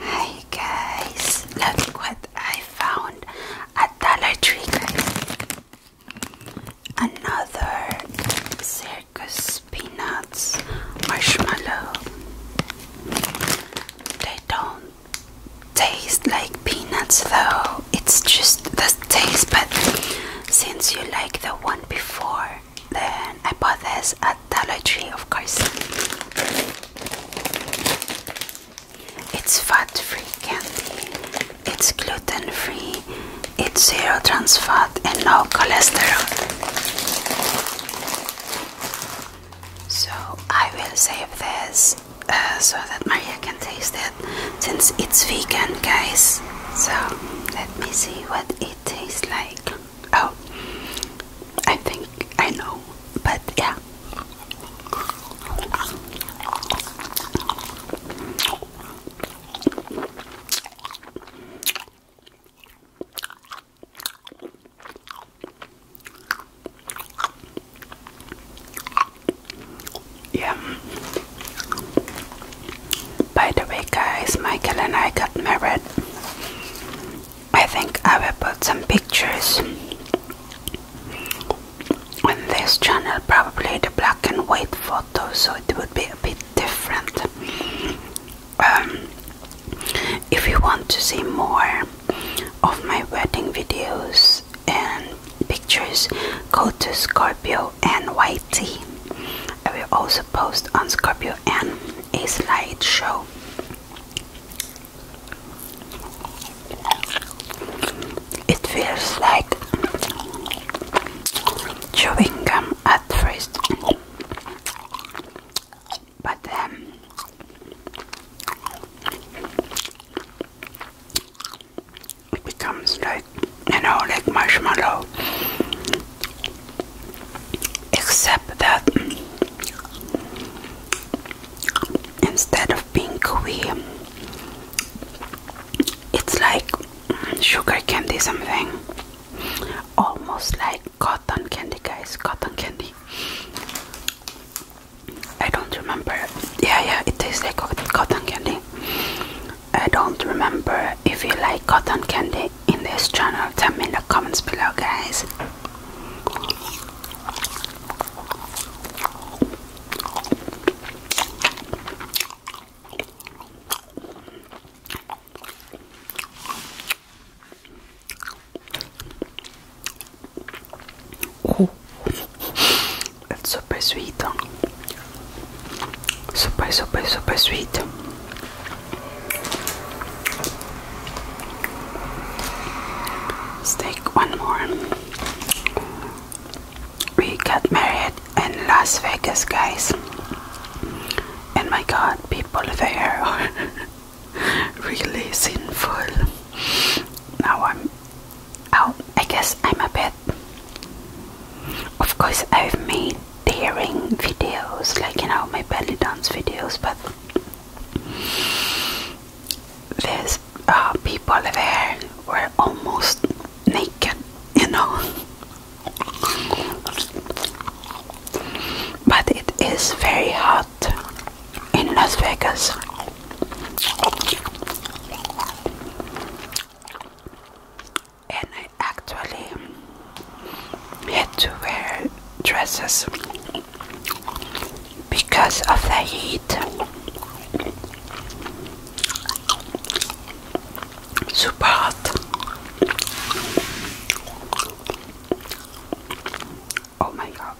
Hi guys, look what I found at Dollar Tree Another circus peanuts marshmallow. They don't taste like peanuts though. It's just the taste but since you like the one before then I bought this at Dollar Tree, of course. It's fat-free candy. It's gluten-free. It's zero trans fat and no cholesterol. So I will save this uh, so that Maria can taste it since it's vegan, guys. So let me see what it tastes like. Oh, I think I know, but yeah. Yeah. By the way, guys, Michael and I got married. I think I will put some pictures on this channel, probably the black and white photos, so it would be a bit different. Um, if you want to see more of my wedding videos and pictures, go to Scorpio and I will also post on Scorpio and a slideshow. It feels like chewing gum at first, but then um, it becomes like like, you know, like marshmallow. Except that instead of being gooey, it's like sugar candy something. Almost like cotton candy, guys. Cotton candy. I don't remember. Yeah, yeah, it tastes like cotton candy. I don't remember if you like cotton candy in this channel. Tell me in the comments below, guys. Oh. It's super sweet super super super sweet take one more we got married in Las Vegas guys and my god people there are really sinful now I'm oh I guess I'm a bit of course, I've made daring videos, like you know, my belly dance videos, but there's uh, people there were almost naked, you know. But it is very hot in Las Vegas and I actually had to wear dresses because of the heat. Super hot. Oh my god.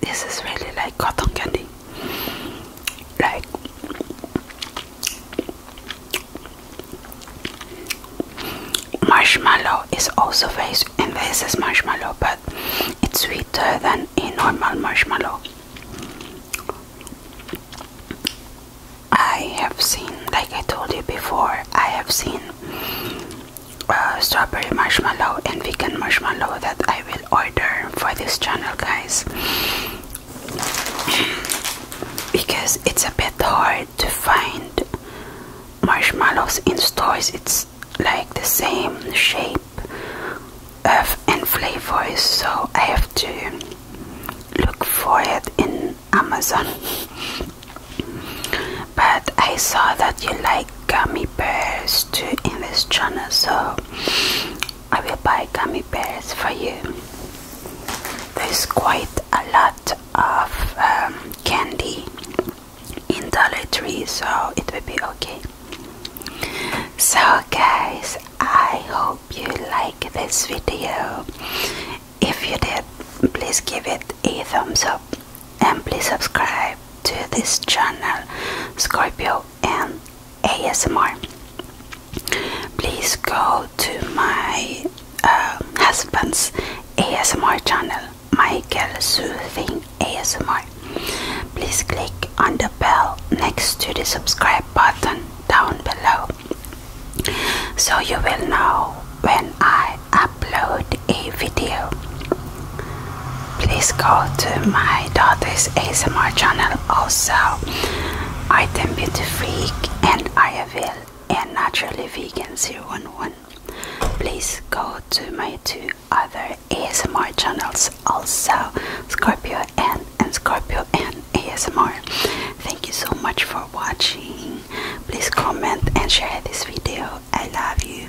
This is really like cotton candy like marshmallow is also very and this is marshmallow but it's sweeter than a normal marshmallow I have seen like I told you before I have seen uh, strawberry marshmallow and vegan marshmallow that I will order for this channel guys because it's a bit hard to find marshmallows in stores. It's like the same shape of and flavors, so I have to look for it in Amazon. but I saw that you like gummy bears too in this channel, so I will buy gummy bears for you. There's quite a lot of um, candy in Dollar Tree, so it will be okay. So, guys, I hope you like this video. If you did, please give it a thumbs up and please subscribe to this channel, Scorpio and ASMR. Please go to my uh, husband's ASMR channel, Michael Soothing ASMR. Please click on the bell next to the subscribe button down below so you will know when I upload a video please go to my daughter's ASMR channel also. I am Beauty Freak and I will and Naturally Vegan 011. Please go to my two other ASMR channels also, Scorpio N and Scorpio N ASMR. Thank you so much for watching. Please comment and share this video. I love you.